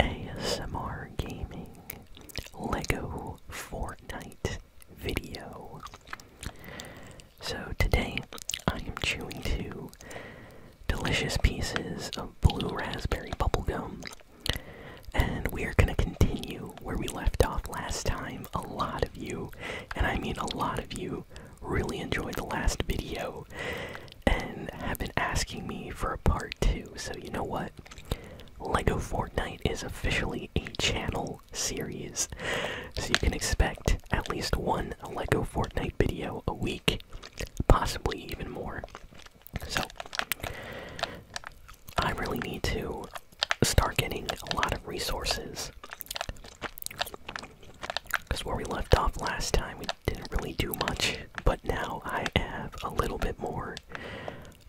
ASMR Gaming, Lego Fortnite video. So today I am chewing two delicious pieces of blue raspberry bubblegum. And we are going to continue where we left off last time. A lot of you, and I mean a lot of you, really enjoyed the last video and have been asking me for a part two. So, you know what? LEGO Fortnite is officially a channel series. So, you can expect at least one LEGO Fortnite video a week, possibly even more. So, I really need to start getting a lot of resources. Because where we left off last time, we didn't really do much but now I have a little bit more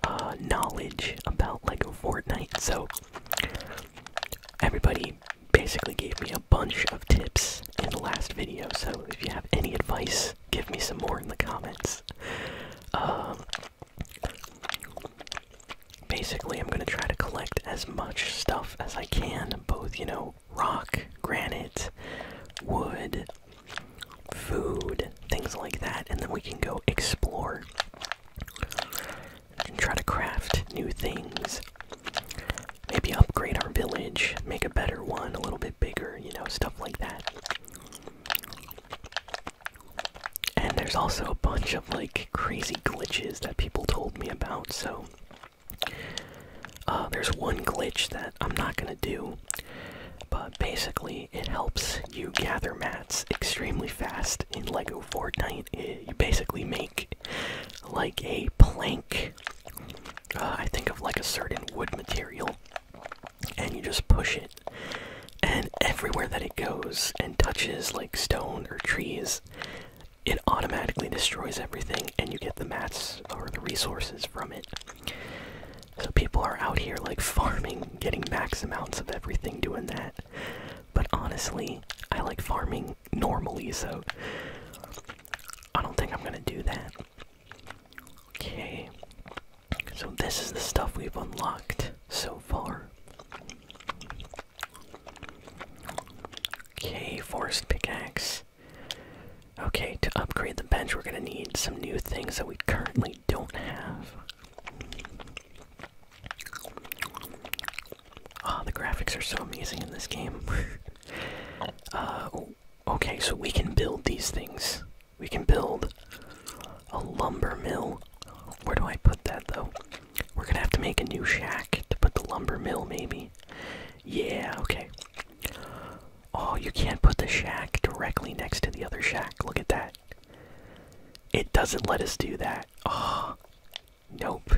uh, knowledge about Lego Fortnite. So everybody basically gave me a bunch of tips in the last video. So if you have any advice, give me some more in the comments. Um, basically, I'm gonna try to collect as much stuff as I can, both you know, rock, granite, wood food, things like that, and then we can go explore and try to craft new things. Maybe upgrade our village, make a better one, a little bit bigger, you know, stuff like that. And there's also a bunch of like crazy glitches that people told me about, so uh, there's one glitch that I'm not gonna do, but basically it helps you gather mats extremely fast in Lego Fortnite. It, eh, you basically make like a plank. Uh, I think of like a certain wood material, and you just push it, and everywhere that it goes and touches like stone or trees, it automatically destroys everything, and you get the mats or the resources from it. So people are out here like farming, getting max amounts of everything doing that. But honestly, I like farming normally, so I don't think I'm gonna do that. Okay. So this is the stuff we've unlocked so far. Okay, forest pickaxe. Okay, to upgrade the bench, we're gonna need some new things that we currently don't have. Ah, the graphics are so amazing in this game. uh, okay, so we can build these things. We can build a lumber mill. Where do I put that though? We're gonna have to make a new shack to put the lumber mill, maybe. Yeah, okay. Oh, you can't put the shack directly next to the other shack. Look at that. It doesn't let us do that. Oh, nope.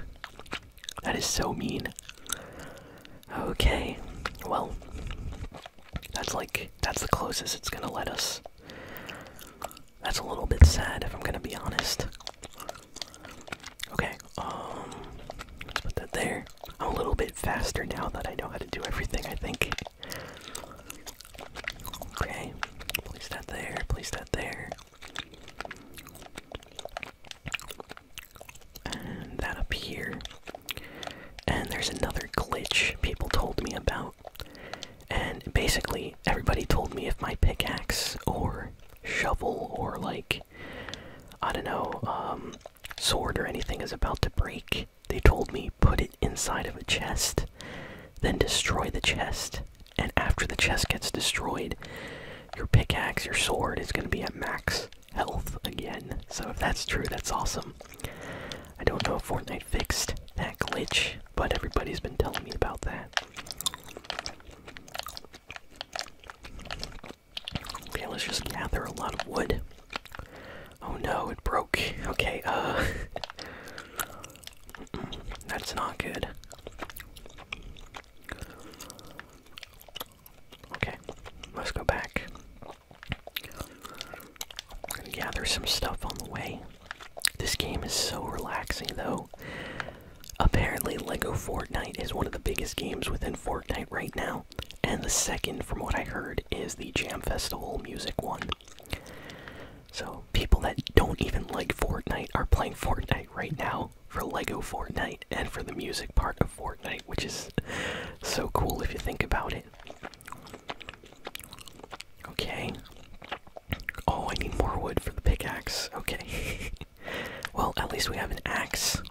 That is so mean. Okay, well, that's like, that's the closest it's gonna let us. That's a little bit sad if I'm gonna be honest. Okay, um, let's put that there. a little bit faster now that I know how to do everything, I think. Okay, place that there, place that there. And that up here. And there's another glitch people told me about. And basically, everybody told me if my pickaxe or shovel or like, I don't know, um, sword or anything is about to break, they told me put it inside of a chest, then destroy the chest. And after the chest gets destroyed, your pickaxe, your sword is going to be at max health again. So if that's true, that's awesome. I don't know if Fortnite fixed that glitch, but everybody's been telling me about that. Okay, let's just gather a lot of wood. Oh no, it broke. Okay, uh. That's not good. Okay, let's go back. and gather some stuff on the way. This game is so relaxing, though. Apparently, LEGO Fortnite is one of the biggest games within Fortnite right now. And the second, from what I heard, is the Jam Festival music one. So, people that don't even like Fortnite are playing Fortnite right now for Lego Fortnite and for the music part of Fortnite, which is so cool if you think about it. Okay. Oh, I need more wood for the pickaxe. Okay. well, at least we have an axe.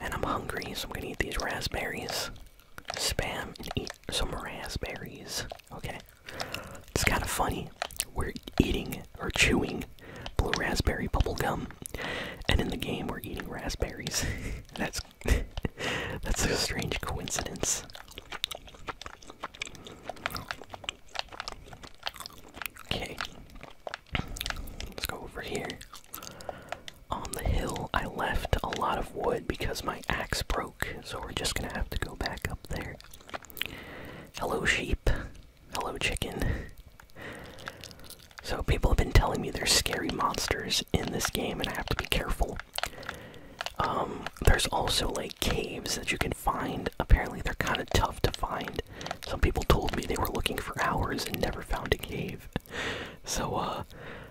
And I'm hungry, so I'm gonna eat these raspberries. Spam and eat some raspberries. Okay. It's kind of funny. We're eating or chewing blue raspberry bubblegum, and in the game we're eating raspberries. that's that's a strange coincidence. Okay. Let's go over here. On the hill, I left a lot of wood because my axe broke, so we're just gonna have to go back up there. Hello, sheep. Hello, chicken. So, people have been telling me there's scary monsters in this game, and I have to be careful. Um, there's also like caves that you can find. Apparently, they're kind of tough to find. Some people told me they were looking for hours and never found a cave. So, uh,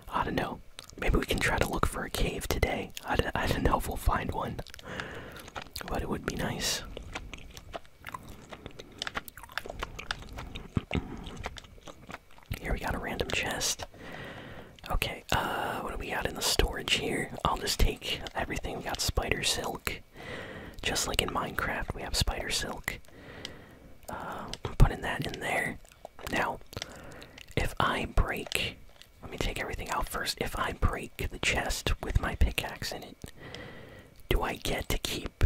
I don't know. Maybe we can try to look for a cave today. I don't, know if we'll find one, but it would be nice. Here we got a random chest. Okay, uh, what do we got in the storage here? I'll just take everything. We got spider silk, just like in Minecraft, we have spider silk. Uh, I'm putting that in there. Now, if I break. Let me take everything out first. If I break the chest with my pickaxe in it, do I get to keep.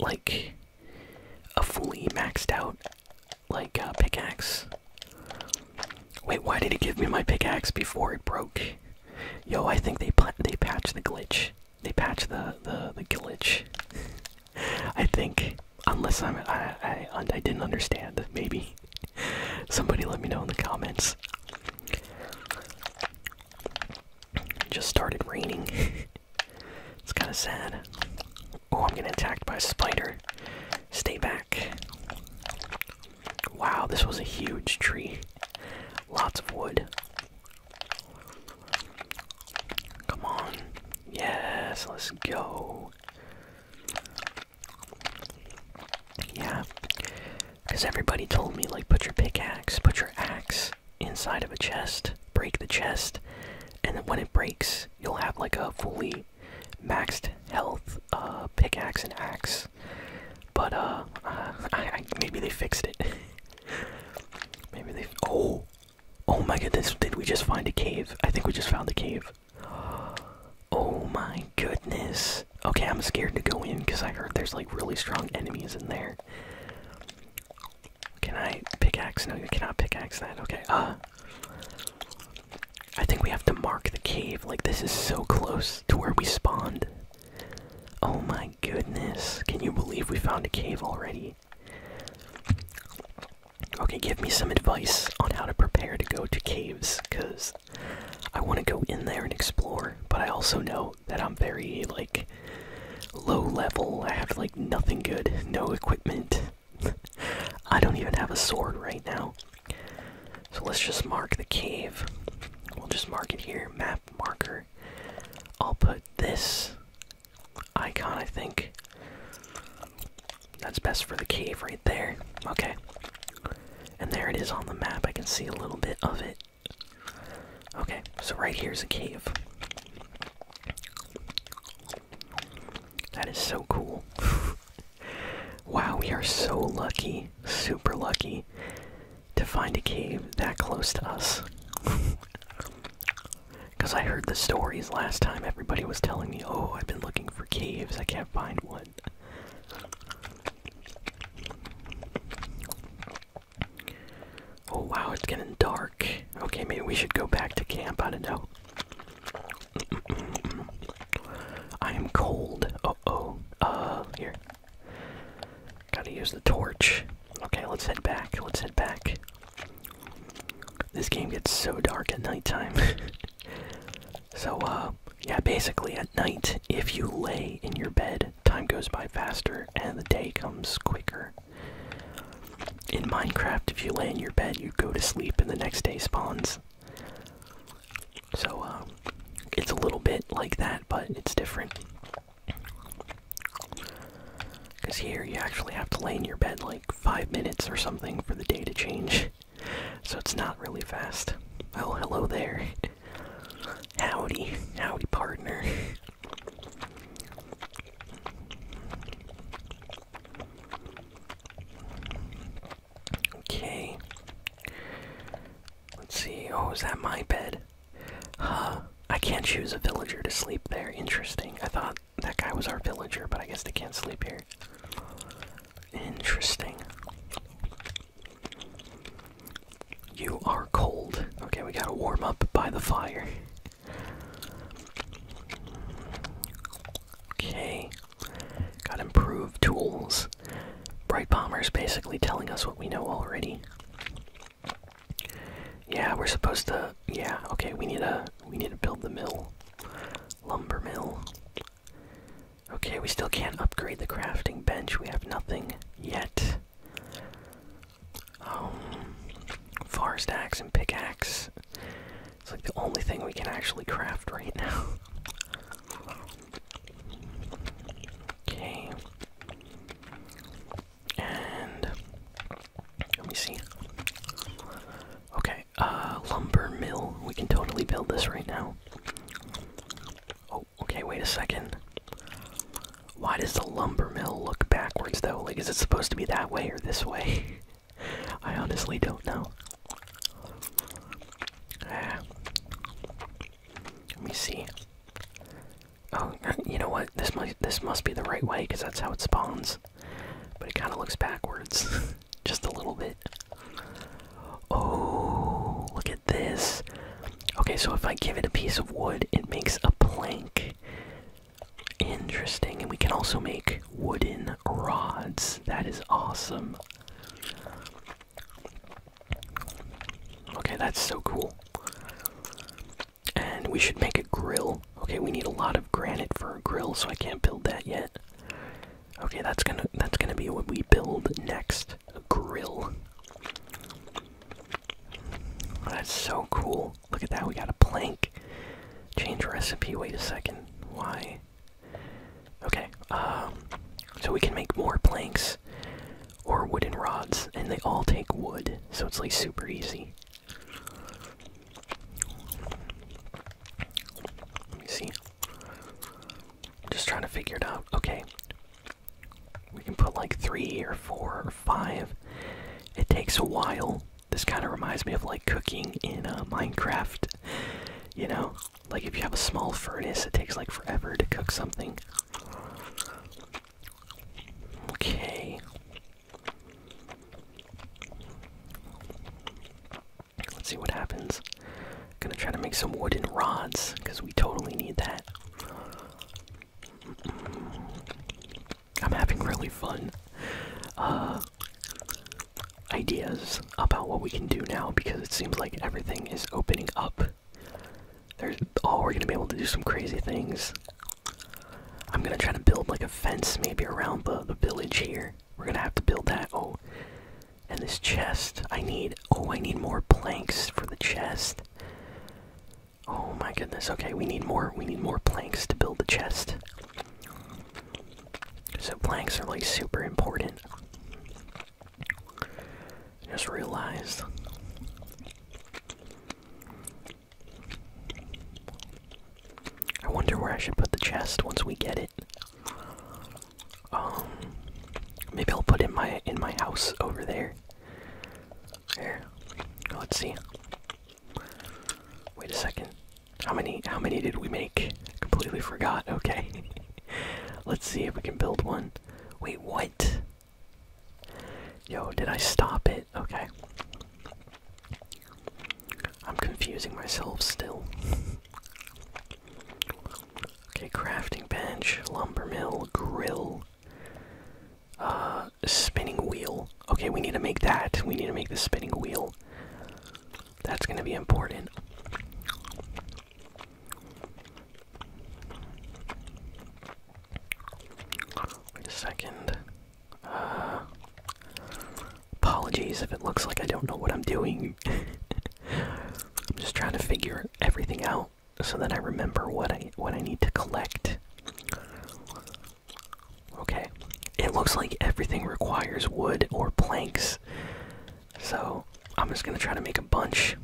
Like a fully maxed out, like uh, pickaxe. Wait, why did it give me my pickaxe before it broke? Yo, I think they they patched the glitch. They patched the the the glitch. I think, unless I'm I I, didn't understand. Maybe somebody let me know in the comments. just started raining. it's kind of sad. Oh, I'm getting attacked by a spider. Stay back. Wow, this was a huge tree. Lots of wood. Come on. Yes, let's go. Yeah. Because everybody told me, like, put your pickaxe, put your axe inside of a chest, break the chest, and then when it breaks, you'll have, like, a fully maxed health uh, pickaxe and axe. But uh, maybe they fixed it. maybe they. Oh, oh my goodness! Did we just find a cave? I think we just found a cave. Oh my goodness. Okay, I'm scared to go in because I heard there's like really strong enemies in there. Can I pickaxe? No, you cannot pickaxe that. Okay. Uh. I think we have to mark the cave. Like, this is so close to where we spawned. Oh my goodness. Can you believe we found a cave already? Okay, give me some advice on how to prepare to go to caves, because I want to go in there and explore, but I also know that I'm very, like, low level. I have, like, nothing good, no equipment. I don't even have a sword right now. So let's just mark the cave. We'll just mark it here. Map marker. I'll put this icon, I think. That's best for the cave right there. Okay. And there it is on the map. I can see a little bit of it. Okay, so right here's a cave. That is so cool. wow, we are so lucky. Super lucky to find a cave that close to us. Because I heard the stories last time, everybody was telling me, oh, I've been looking for caves, I can't find one. Oh wow, it's getting dark. Okay, maybe we should go back to camp, I don't know. I am cold. Uh oh. Uh, here. Gotta use the torch. Okay, let's head back. Let's head back. This game gets so dark at nighttime. so, uh, yeah, basically at night, if you lay in your bed, time goes by faster and the day comes quicker. In Minecraft, if you lay in your bed, you go to sleep and the next day spawns. So, um, it's a little bit like that, but it's different. Because here you actually have to lay in your bed like five minutes or something for the day to change. So it's not really fast. Oh, hello there. Howdy. Howdy, partner. Okay. Let's see. Oh, is that my bed? Huh. I can't choose a villager to sleep there. Interesting. I thought that guy was our villager, but I guess they can't sleep here. Interesting. You are cold. Okay, we gotta warm up by the fire. Okay. Gotta improve tools. Bright is basically telling us what we know already. Yeah, we're supposed to. Yeah, okay. We need a. We need to build the mill, lumber mill. Okay, we still can't upgrade the crafting bench. We have nothing yet. Um, forest axe and pickaxe. It's like the only thing we can actually craft right now. Okay. And let me see. Okay, uh, lumber mill. We can totally build this right now. Oh, okay, wait a second. Why does the lumber mill look backwards though? Like, is it supposed to be that way or this way? I honestly don't know. Ah. Let me see. Oh, uh, you know what? This must this must be the right way because that's how it spawns. But it kind of looks backwards, just a little bit. Oh, look at this. Okay, so if I give it a piece of wood, it makes a plank. Interesting, and we can also make wooden rods. That is awesome. Okay, that's so cool. And we should make a grill. Okay, we need a lot of granite for a grill, so I can't build that yet. Okay, that's gonna that's gonna be what we build next. A grill. That's so cool. Look at that, we got a plank. Change recipe, wait a second. Why? Okay, um, so we can make more planks or wooden rods, and they all take wood, so it's like super easy. Let me see. I'm just trying to figure it out. Okay. We can put like three or four or five. It takes a while. This kind of reminds me of like cooking in a uh, Minecraft. You know, like if you have a small furnace, it takes like forever to cook something. Okay. Let's see what happens. Gonna try to make some wooden rods because we totally need that. I'm having really fun uh, ideas about what we can do now because it seems like everything is opening up. There's oh, we're gonna be able to do some crazy things. I'm gonna try to build like a fence maybe around the the village here. We're gonna have to build that. Oh, and this chest. I need. Oh, I need more planks for the chest. Oh my goodness. Okay, we need more. We need more planks to build the chest. So planks are like super important just realized I wonder where I should put the chest once we get it. Um maybe I'll put it in my in my house over there. There. Let's see. Wait a second. How many how many did we make? completely forgot. Okay. Let's see if we can build one. Wait, what? Yo, did I stop it? Okay. I'm confusing myself still. Okay, crafting bench, lumber mill, grill, uh, spinning wheel. Okay, we need to make that. We need to make the spinning wheel. That's gonna be important. Wait a second. Uh, apologies if it looks like I don't know what I'm doing. I'm just trying to figure everything out so that I remember what I what I need to collect. Okay. It looks like everything requires wood or planks. So I'm just gonna try to make a bunch.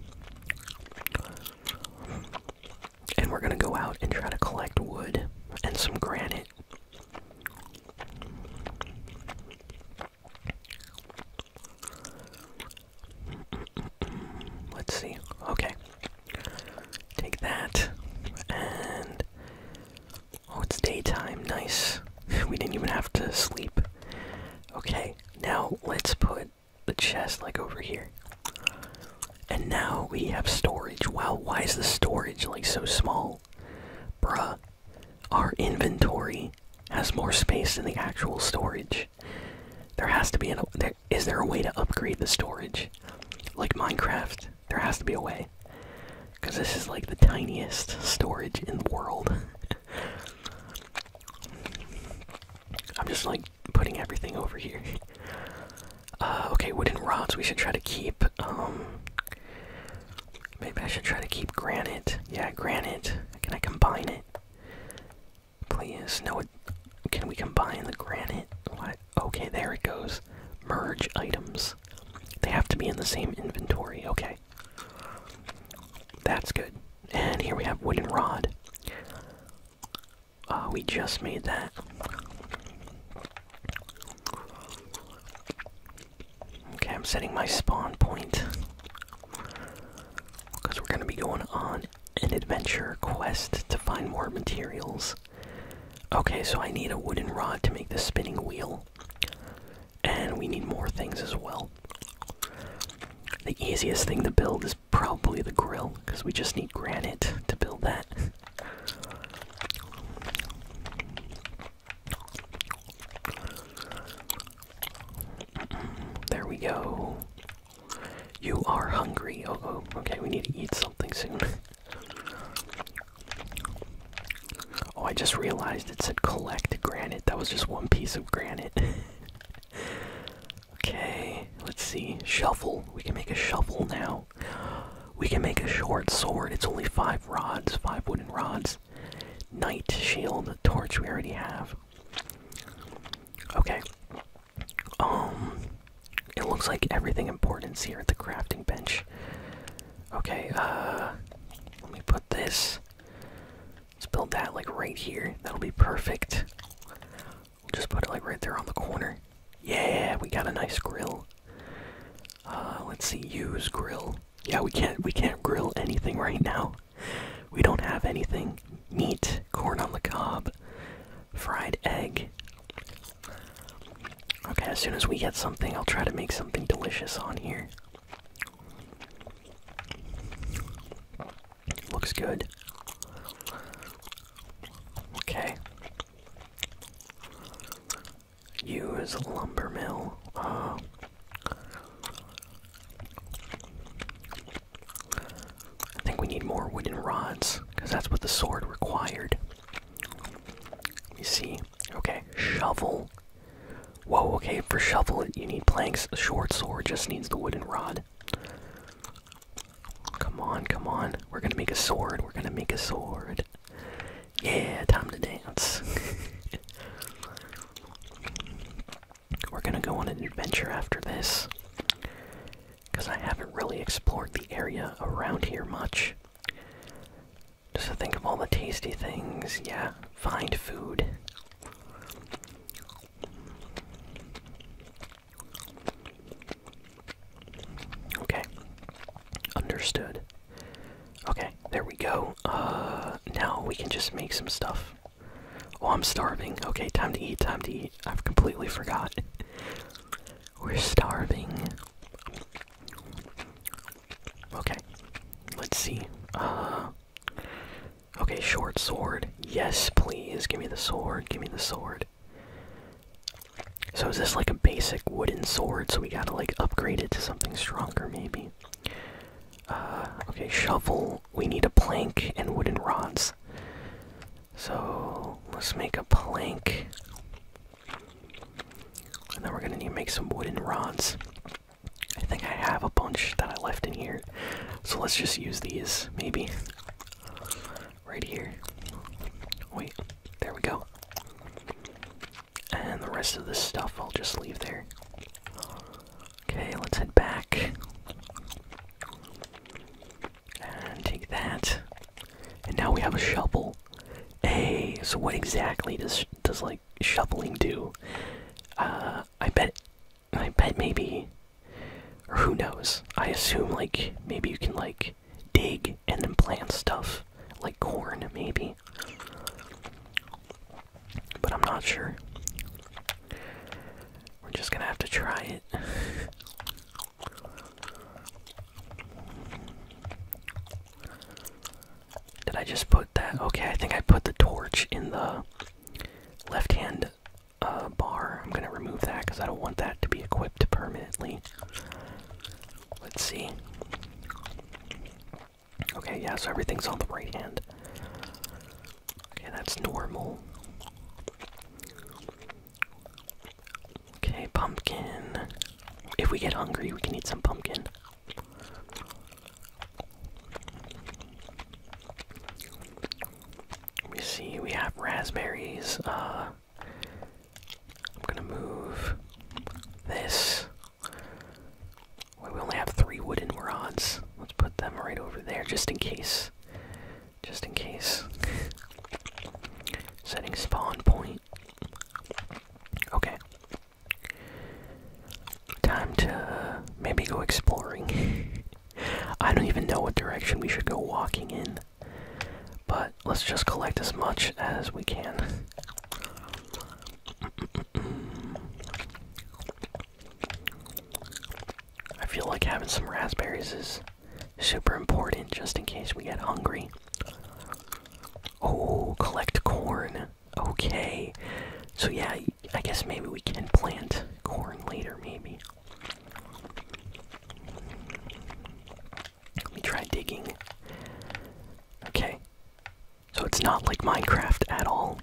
And we're gonna go out and try to collect wood and some granite. Let's see. Okay. Take that. And. Oh, it's daytime. Nice. we didn't even have to sleep. Okay, now let's put the chest like over here. And now we have storage. Wow, why is the storage like so small? Bruh, our inventory has more space than the actual storage. There has to be an. Is there a way to upgrade the storage? Like Minecraft, there has to be a way. Because this is like the tiniest storage in the world. I'm just like putting everything over here. Uh, okay, wooden rods we should try to keep. Um, maybe I should try to keep granite. Yeah, granite. Can I combine it? Please, no. Can we combine the granite? What? Okay, there it goes. Merge items. They have to be in the same inventory. Okay. That's good. And here we have wooden rod. Uh, we just made that. Okay, I'm setting my spawn point. Because we're going to be going on an adventure quest to find more materials. Okay, so I need a wooden rod to make the spinning wheel and we need more things as well. The easiest thing to build is probably the grill, because we just need granite to build that. There we go. You are hungry. Oh, oh, okay, we need to eat something soon. Oh, I just realized it said collect granite. That was just one piece of granite. okay, let's see. Shuffle. We can make a shovel now. We can make a short sword. It's only five rods, five wooden rods. Knight shield, torch we already have. Okay. Um it looks like everything important's here at the crafting bench. Okay, uh let me put this Let's build that like right here. That'll be perfect. We'll just put it like right there on the corner. Yeah, we got a nice grill. Uh, let's see, use grill. Yeah, we can't we can't grill anything right now. We don't have anything. Meat, corn on the cob, fried egg. Okay, as soon as we get something, I'll try to make something delicious on here. Looks good. Okay. Use lumbermill. Uh, I think we need more wooden rods because that's what the sword required. You see, Okay, shovel. Whoa, okay, for shovel, you need planks. short sword just needs the wooden rod. Come on, come on. We're gonna make a sword. We're gonna make a sword. Yeah, time to dance. We're gonna go on an adventure after this. Because I haven't really explored the area around here much. Just think of all the tasty things. Yeah, find food. Okay. Understood. Okay, there we go. Uh, now we can just make some stuff. Oh, I'm starving. Okay, time to eat, time to eat. I've completely forgot. We're starving. Okay, let's see. Uh, okay, short sword. Yes, please. Give me the sword. Give me the sword. So is this like a basic wooden sword? So we gotta like upgrade it to something stronger, maybe. Uh, okay, shovel. We need a plank and wooden rods. So let's make a plank. And then we're gonna need to make some wooden rods. I think I have a bunch that I left in here. So let's just use these, maybe. Right here. Wait, there we go. And the rest of the stuff I'll just leave there. Okay, let's head back. And take that. And now we have a shovel. Hey, so what exactly does does like shoveling do? Uh, I bet, I bet maybe, or who knows? I assume like maybe you can like dig and then plant stuff like corn maybe, but I'm not sure. We're just gonna have to try it. Did I just put that? Okay, I think I put the torch in the left hand uh, bar. I'm gonna remove that because I don't want that to be equipped permanently. Let's see. Okay, yeah, so everything's on the right hand. Okay, that's normal. Okay, pumpkin. If we get hungry, we can eat some pumpkin. We see we have raspberries. Uh, I'm gonna move this. we only have three wooden rods. Let's put them right over there just in case. Just in case. Setting spawn point. Okay. Time to uh, maybe go exploring. I don't even know what direction we should go walking in, but let's just collect as much as we can. I feel like having some raspberries is super important just in case we get hungry. Oh, collect corn okay. So yeah, I guess maybe we can plant corn later, maybe. Let me try digging. Okay. So it's not like Minecraft at all.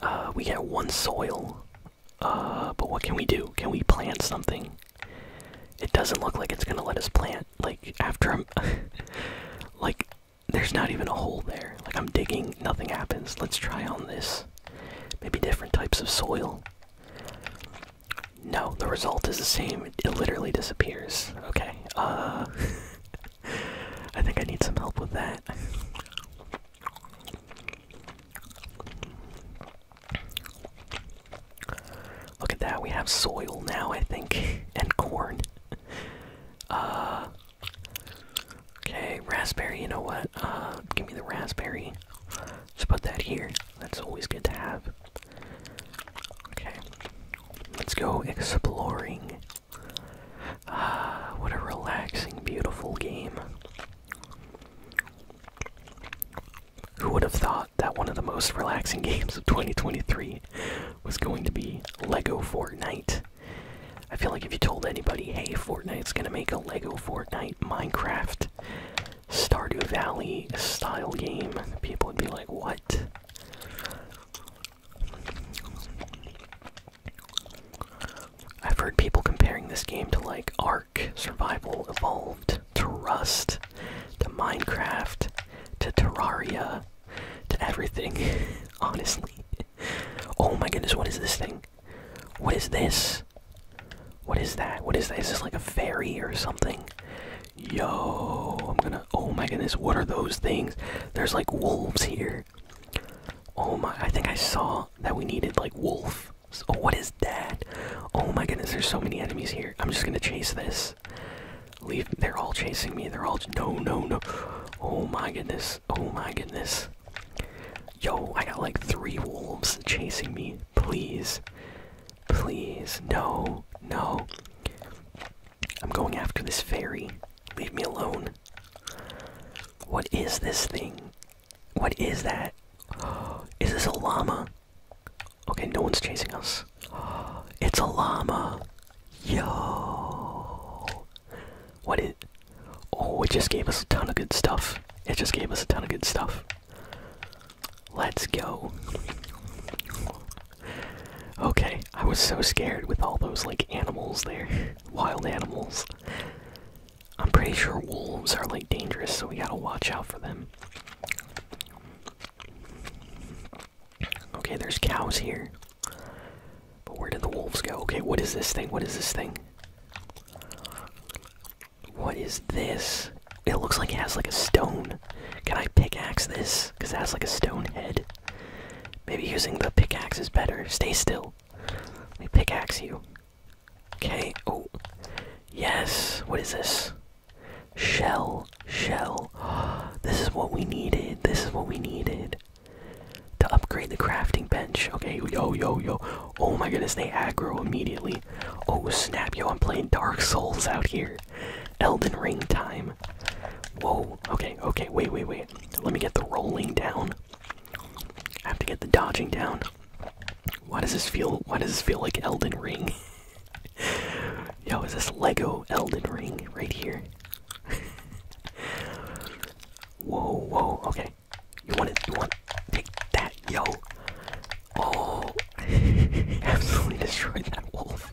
Uh, we get one soil. Uh, but what can we do? Can we plant something? It doesn't look like it's gonna let us plant, like, after i like, there's not even a hole there. Like, I'm digging, nothing happens. Let's try on this. Maybe different types of soil. No, the result is the same. It literally disappears. Okay, uh. I think I need some help with that. Look at that, we have soil now, I think, and corn. Uh, okay, raspberry, you know what? Uh, give me the raspberry. Let's put that here. That's always good to have. Okay, let's go exploring. Ah, what a relaxing, beautiful game. Who would have thought? that one of the most relaxing games of 2023 was going to be Lego Fortnite. I feel like if you told anybody, hey, Fortnite's gonna make a Lego Fortnite Minecraft Stardew Valley style game, people would be like, what? I've heard people comparing this game to like Ark Survival Evolved to Rust to Minecraft to Terraria to everything, honestly. Oh my goodness, what is this thing? What is this? What is that? What is that? Is this like a fairy or something? Yo, I'm gonna. Oh my goodness, what are those things? There's like wolves here. Oh my, I think I saw that we needed like wolf. Oh, what is that? Oh my goodness, there's so many enemies here. I'm just gonna chase this. Leave. They're all chasing me. They're all. No, no, no. Oh my goodness. Oh my goodness. Yo, I got like three wolves chasing me. Please. Please. No. No. I'm going after this fairy. Leave me alone. What is this thing? What is that? Is this a llama? Okay, no one's chasing us. It's a llama. Yo. What it? Oh, it just gave us a ton of good stuff. It just gave us a ton of good stuff. Let's go. Okay, I was so scared with all those like animals there. Wild animals. I'm pretty sure wolves are like dangerous, so we gotta watch out for them. Okay, there's cows here. But where did the wolves go? Okay, what is this thing? What is this thing? What is this? It looks like it has like a stone. Can I pickaxe this? Because it has like a stone head. Maybe using the pickaxe is better. Stay still. Let me pickaxe you. Okay, oh. Yes, what is this? Shell, shell. This is what we needed. This is what we needed to upgrade the crafting bench. Okay, yo, yo, yo. Oh my goodness, they aggro immediately. Oh snap, yo, I'm playing Dark Souls out here. Elden Ring time. Whoa, okay, okay, wait, wait, wait. Let me get the rolling down. I have to get the dodging down. Why does this feel why does this feel like Elden Ring? Yo, is this Lego Elden Ring right here? whoa, whoa, okay. You want it? You want? Take that, yo! Oh, absolutely destroyed that wolf.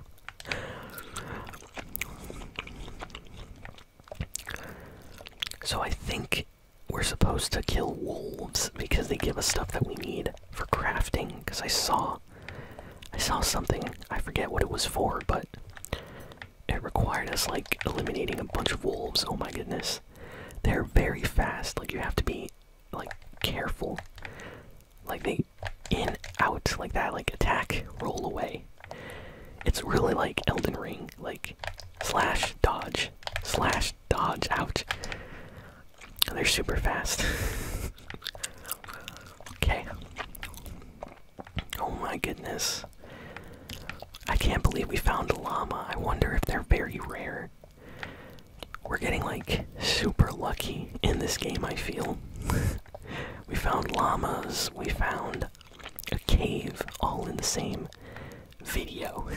So I think we're supposed to kill wolves because they give us stuff that we need for crafting. Because I saw I saw something. I forget what it was for, but it required us like eliminating a bunch of wolves. Oh my goodness. They're very fast. Like you have to be like careful. Like they in out like that like attack roll away. It's really like Elden Ring, like slash dodge, slash dodge out. They're super fast. okay. Oh my goodness. I can't believe we found a llama. I wonder if they're very rare. We're getting like super lucky in this game, I feel. we found llamas, we found a cave all in the same video.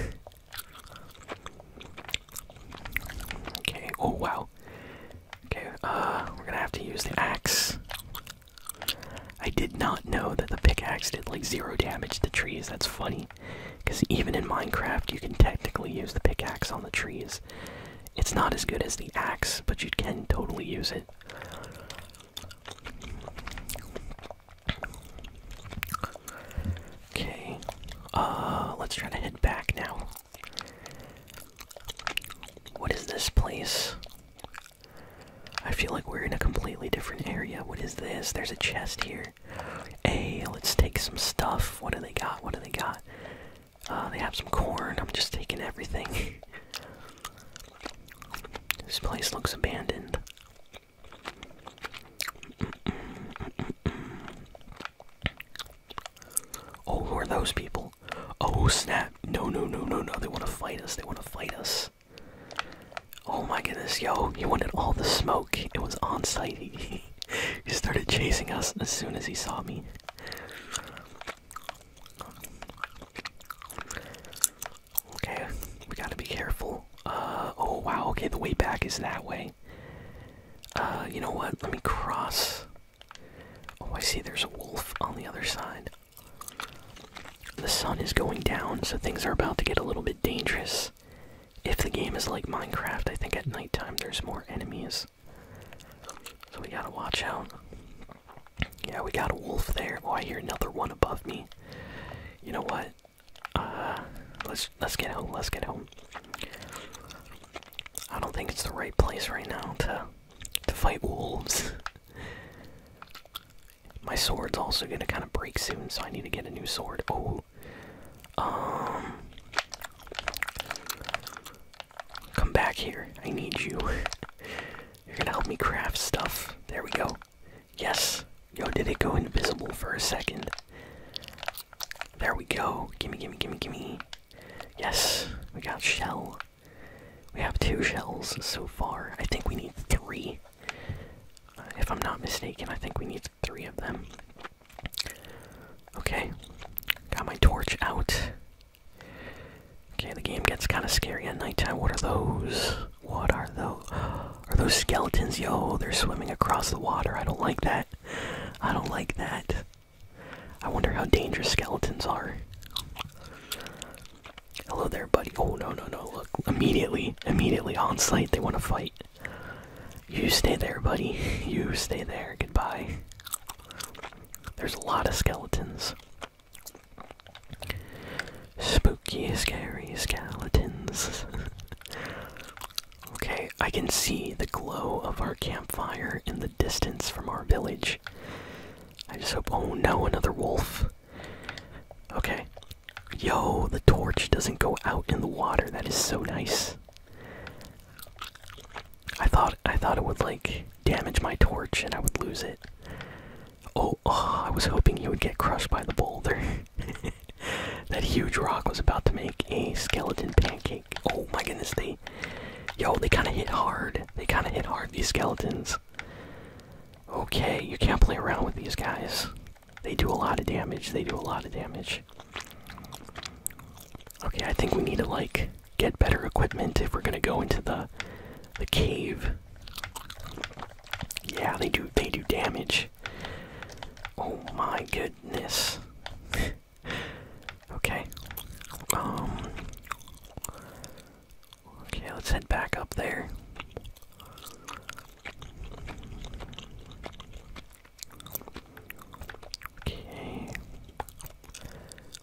Okay, oh wow. Okay, uh, we're gonna have to use the axe. I did not know that the pickaxe did like zero damage to trees, that's funny. Because even in Minecraft, you can technically use the pickaxe on the trees. It's not as good as the axe, but you can totally use it. Okay, uh, let's try to head back now. What is this place? I feel like we're in a completely different area. What is this? There's a chest here. Hey, let's take some stuff. What do they got? What do they got? Uh, they have some corn. I'm just taking everything. this place looks abandoned. Oh, who are those people? Oh snap! No, no, no, no, no! They want to fight us. They want to fight us. Oh my goodness, yo! He wanted all the smoke. It was on site. He, started chasing us as soon as he saw me. Okay, we gotta be careful. Uh oh wow. Okay, the way back is that way. Uh, you know what? Let me cross. Oh, I see there's a wolf on the other side. The sun is going down, so things are about to get a little bit dangerous. If the game is like Minecraft, I think at nighttime there's more enemies. So we gotta watch out. Yeah, we got a wolf there. Oh, I hear another one above me. You know what? Uh, let's let's get home. Let's get home. I don't think it's the right place right now to to fight wolves. My sword's also gonna kind of break soon, so I need to get a new sword. Oh, um, come back here. I need you. You're gonna help me craft stuff. There we go. Yes. Yo, did it go invisible for a second? There we go. Gimme, gimme, gimme, gimme. Yes, we got shell. We have two shells so far. I think we need three. if I'm not mistaken, I think we need three of them. Okay, got my torch out. Okay, the game gets kind of scary at nighttime. What are those? What are those? Are those skeletons? Yo, they're swimming across the water. I don't like that. I don't like that. I wonder how dangerous skeletons are. Hello there, buddy. Oh, no, no, no. Look, immediately, immediately on site, they want to fight. You stay there, buddy. You stay there. Goodbye. There's a lot of skeletons. Spooky, scary skeletons. Okay, I can see the glow of our campfire in the distance from our village. I just hope. Oh no, another wolf. Okay. Yo, the torch doesn't go out in the water. That is so nice. I thought I thought it would like damage my torch and I would lose it. Oh, oh I was hoping you would get crushed by the boulder. that huge rock was about to make a skeleton pancake. Oh my goodness, they. Yo, they kind of hit hard. They kind of hit hard, these skeletons. Okay, you can't play around with these guys. They do a lot of damage. They do a lot of damage. Okay, I think we need to, like, get better equipment if we're gonna go into the the cave. Yeah, they do they do damage. Oh my goodness. okay. Um. Okay, let's head back up there. Okay.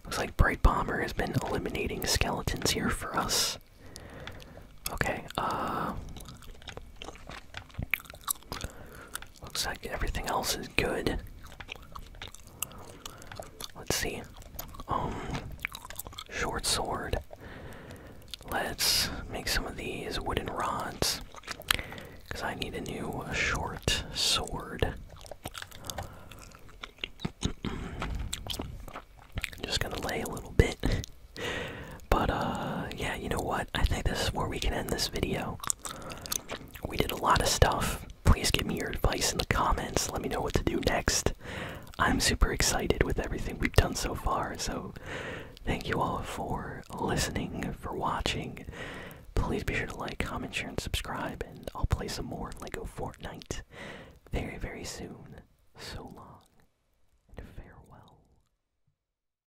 Looks like Bright Bomber has been eliminating skeletons here for us. Okay, uh. Looks like everything else is good. Let's see. Um, short sword. Let's make some of these wooden rods. Because I need a new short sword. just gonna lay a little bit. But uh, yeah, you know what? I think this is where we can end this video. We did a lot of stuff. Please give me your advice in the comments. Let me know what to do next. I'm super excited with everything we've done so far. So thank you all for listening, for watching. Please be sure to like, comment, share, and subscribe, and I'll play some more LEGO Fortnite very, very soon. So long, and farewell.